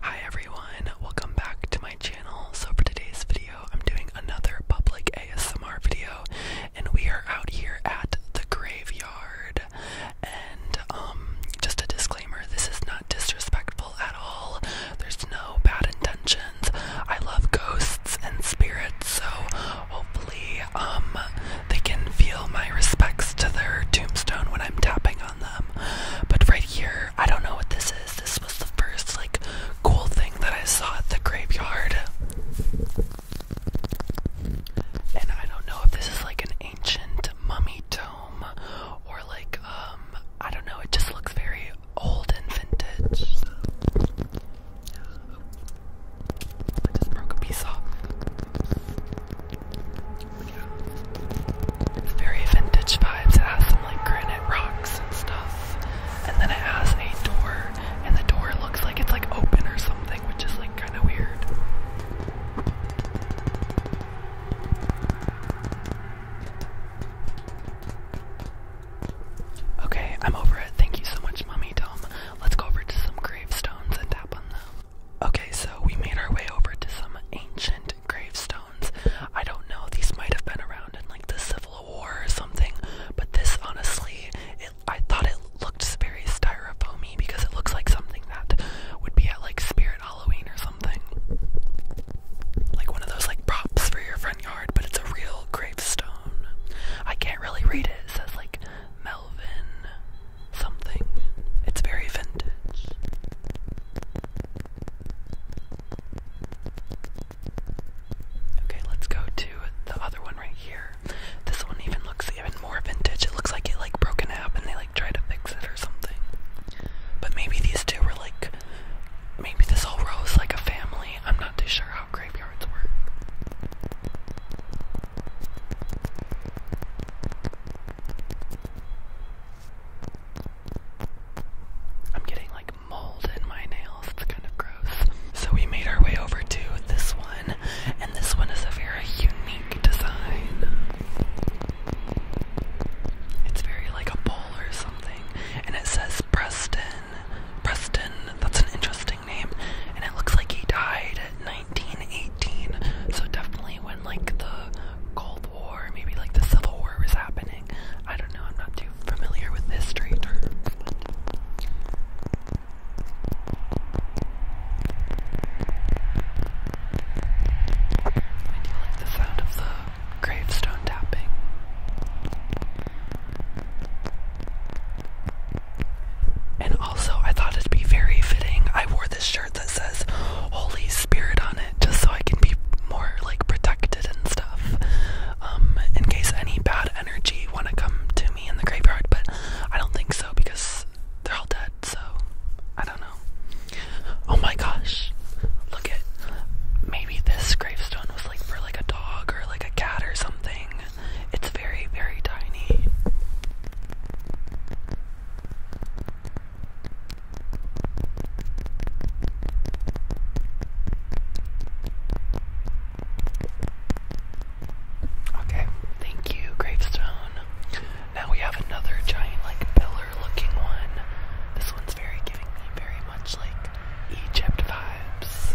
Hi everyone, welcome back to my channel. So for today's video, I'm doing another public ASMR video and we are out here at the graveyard. And um, just a disclaimer, this is not disrespectful at all. There's no bad intentions. I love ghosts and spirits, so hopefully um, they can feel my respects to their tombstone when I'm tapping on. But right here, I don't know what this is. This was the first like cool thing that I saw at the graveyard. And I don't know if this is like an ancient mummy tome or like um I don't know, it just looks very old and vintage. So. I just broke a piece off. Very vintage vibes. It has some like granite rocks and stuff. And then it has a door, and the door looks like it's like open or something, which is like kind of weird. Okay, I'm over it. Thank you so much, Mommy Dome. Let's go over to some gravestones and tap on them. Okay, so we made our way over to some ancient gravestones. I don't know, these might have been around in like the Civil War or something, but this honestly, I thought it looked very styrofoamy because it looks like something that would be at like Spirit Halloween or something. Like one of those like props for your front yard, but it's a real gravestone. I can't really read it, it says like Melvin something. It's very vintage. Okay, let's go to the other one right here. This one even looks even more vintage. It looks like it like broke in half and they like tried to fix it or something. But maybe these two were like maybe this whole row is like a family. I'm not too sure how graveyards work. I'm getting like mold in my nails. It's kind of gross. So we made our way over to this one, and this one is a very unique design. It's very like a bowl or something, and it says Preston. Preston, that's an interesting and it looks like he died in 1918. So definitely when like the Cold War, maybe like the Civil War was happening. I don't know. I'm not too familiar with history I do like the sound of the gravestone tapping. And also, I thought it'd be very fitting. I wore this shirt that says Holy Spirit on it just so I can be more like protected and stuff. Um, in case any bad energy want to come to me in the graveyard, but I don't think so because they're all dead, so I don't know. Oh my gosh. Look at maybe this gravestone was like for like a dog or like a cat or something. It's very, very tiny. Okay, thank you, gravestone. Now we have another giant, like, pillar looking one. This one's very giving me very much like Egypt vibes.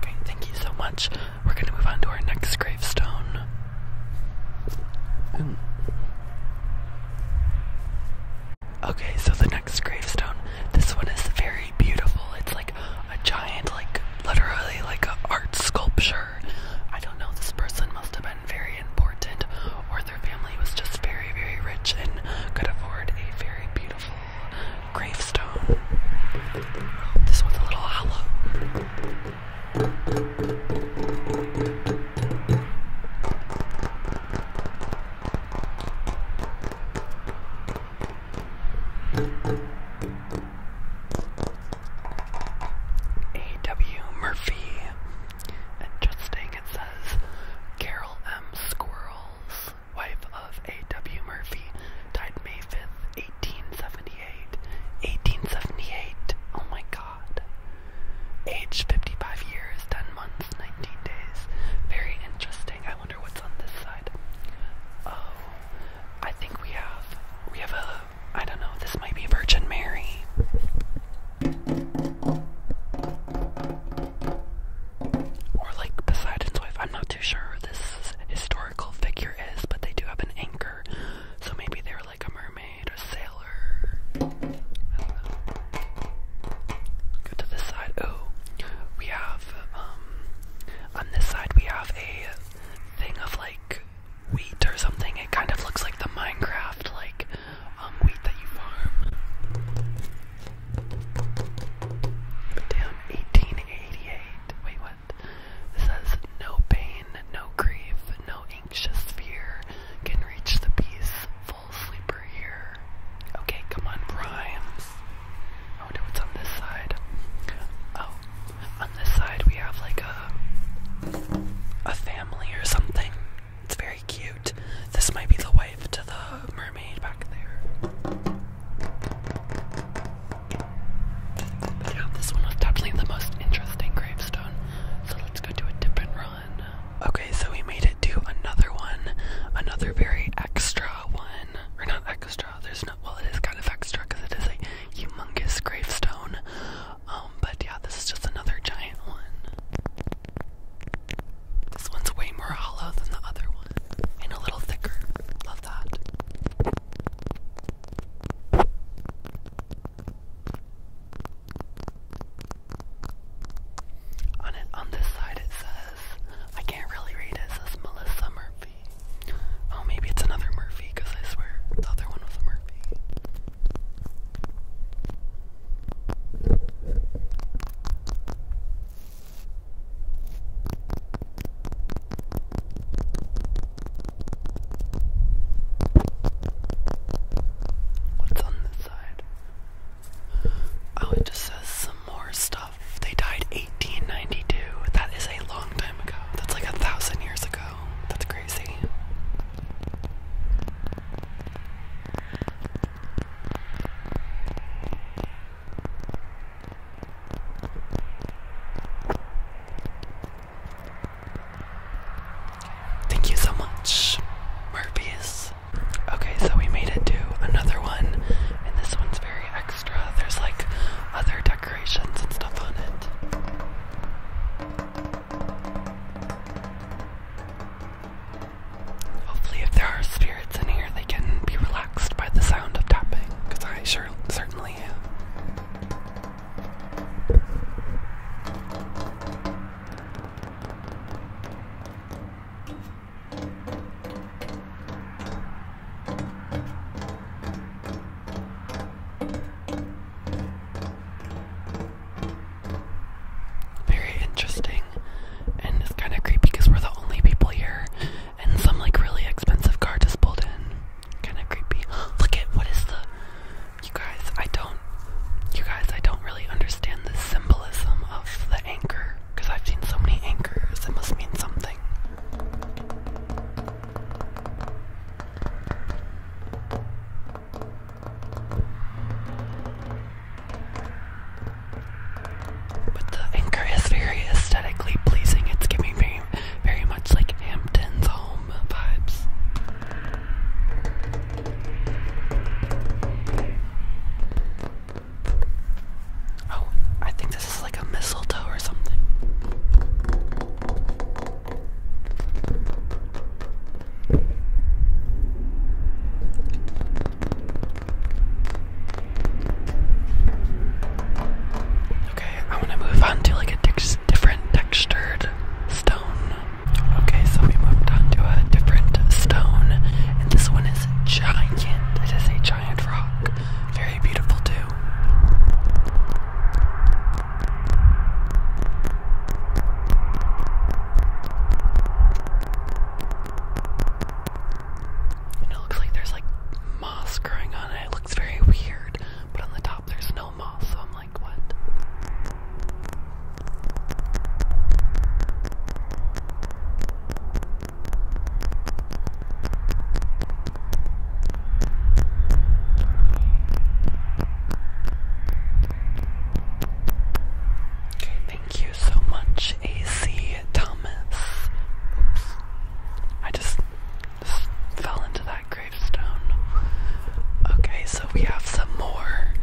Okay, thank you so much. We're gonna move on to our next gravestone. Mm. Okay, so the next gravestone. This one is very beautiful. It's like a giant, like literally like an art sculpture. I don't know. This person must have been very important, their family was just very, very rich and could afford a very beautiful gravestone. This one's a little hollow. A. W. Murphy. Interesting. It says Carol M. Squirrels, wife of A.W. Murphy, died May 5th, 1878. 1878. Oh my god. Age 55 years, 10 months, 19 days. Very interesting. I wonder what's on this side. Oh, I think we have we have a I don't know. This might be Virgin Mary. Or like Poseidon's wife. I'm not too sure who this historical figure is, but they do have an anchor. So maybe they were like a mermaid, a sailor. Go to this side. Oh, we have, um, on this side we have a thing of like wheat or something. It kind of looks like the Minecraft, like um, wheat that you farm. damn, 1888. Wait, what? says, no pain, no grief, no anxious fear can reach the peaceful sleeper here. Okay, come on, rhymes. I wonder what's on this side. Oh, on this side we have like a a family or something. It's very cute. This might be the wife to the mermaid back there. yeah, this one was definitely the most interesting gravestone. So let's go do a different run. Okay, so we made it to another one. Another very extra one. Or not extra, there's not, well, it is kind of extra because it is a humongous gravestone. Um, but yeah, this is just another giant one. This one's way more hollow than the other one, and a little thicker. Love that. On it, on this side, it says, I can't really read it. says Melissa Murphy. Oh, maybe it's another Murphy because I swear the other one was a Murphy. What's on this side? Oh, it just says some more stuff. They died 1892. That is a long time ago. That's like a thousand years ago. Thank you so much, Murphy's. Okay, so we made it to another one, and this one's very extra. There's like other decorations and stuff on it. Hopefully, if there are spirits in here, they can be relaxed by the sound of tapping, because I sure certainly am. Very interesting. And it's kind of creepy because we're the only people here. And some like really expensive car just pulled in. Kind of creepy. Look at what is the. You guys, I don't. You guys, I don't really understand the symbolism of the anchor. Because I've seen so many anchors. It must mean something. But the anchor is very aesthetically pleasing. It's giving me very much like Hampton's home vibes. Oh, I think this is like a mistletoe or something. Okay, I want to move on to like a different textured stone. Okay, so we moved on to a different stone, and this one is giant. It is a giant rock. Very beautiful, too it looks like there's like moss growing on it. It looks very weird, but on the top there's no moss, so I'm like, what? Thank you so much, AC Thomas. Oops. I just, just fell into that gravestone. Okay, so we have some more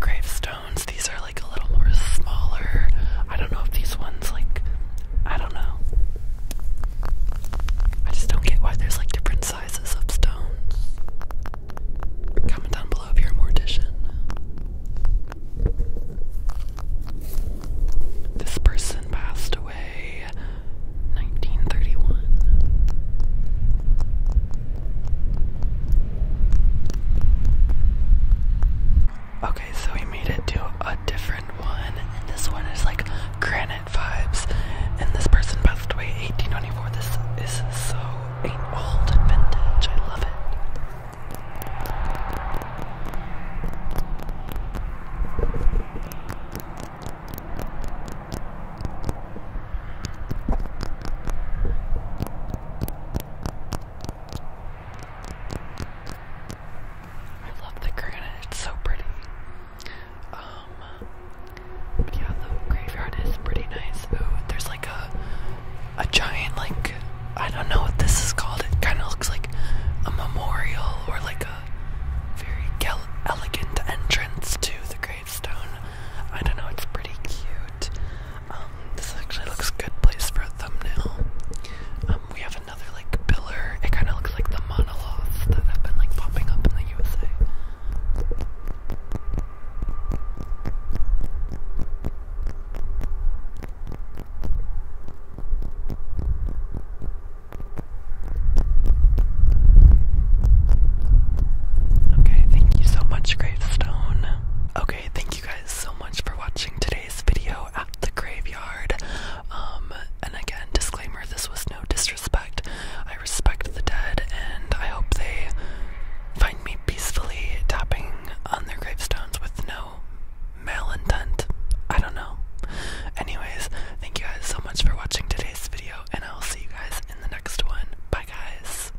gravestones. These are like a little more smaller. I don't know if these ones like I don't know. I just don't get why there's like different sizes of stones. Comment down below if you mortician. This person passed away 1931. Okay, so we made it to a different one, and this one is like granite vibes. And this person passed away 1824. This is so old and vintage. I love it. I love the granite, it's so pretty. Um, yeah, the graveyard is pretty nice. Ooh, there's like a, a giant, like, I don't know what this is called. It kind of looks like a memorial or like a very elegant entrance to the gravestone. I don't know, it's pretty cute. Um, this actually looks good place for a thumbnail. Um, we have another like pillar. It kind of looks like the monoliths that have been like popping up in the USA. Okay, thank you so much, Gravestone. Okay thank you guys so much for watching today's video at the graveyard. Um, and again, disclaimer this was no disrespect. I respect the dead and I hope they find me peacefully tapping on their gravestones with no malintent. I don't know. Anyways, thank you guys so much for watching today's video, and I'll see you guys in the next one. Bye, guys.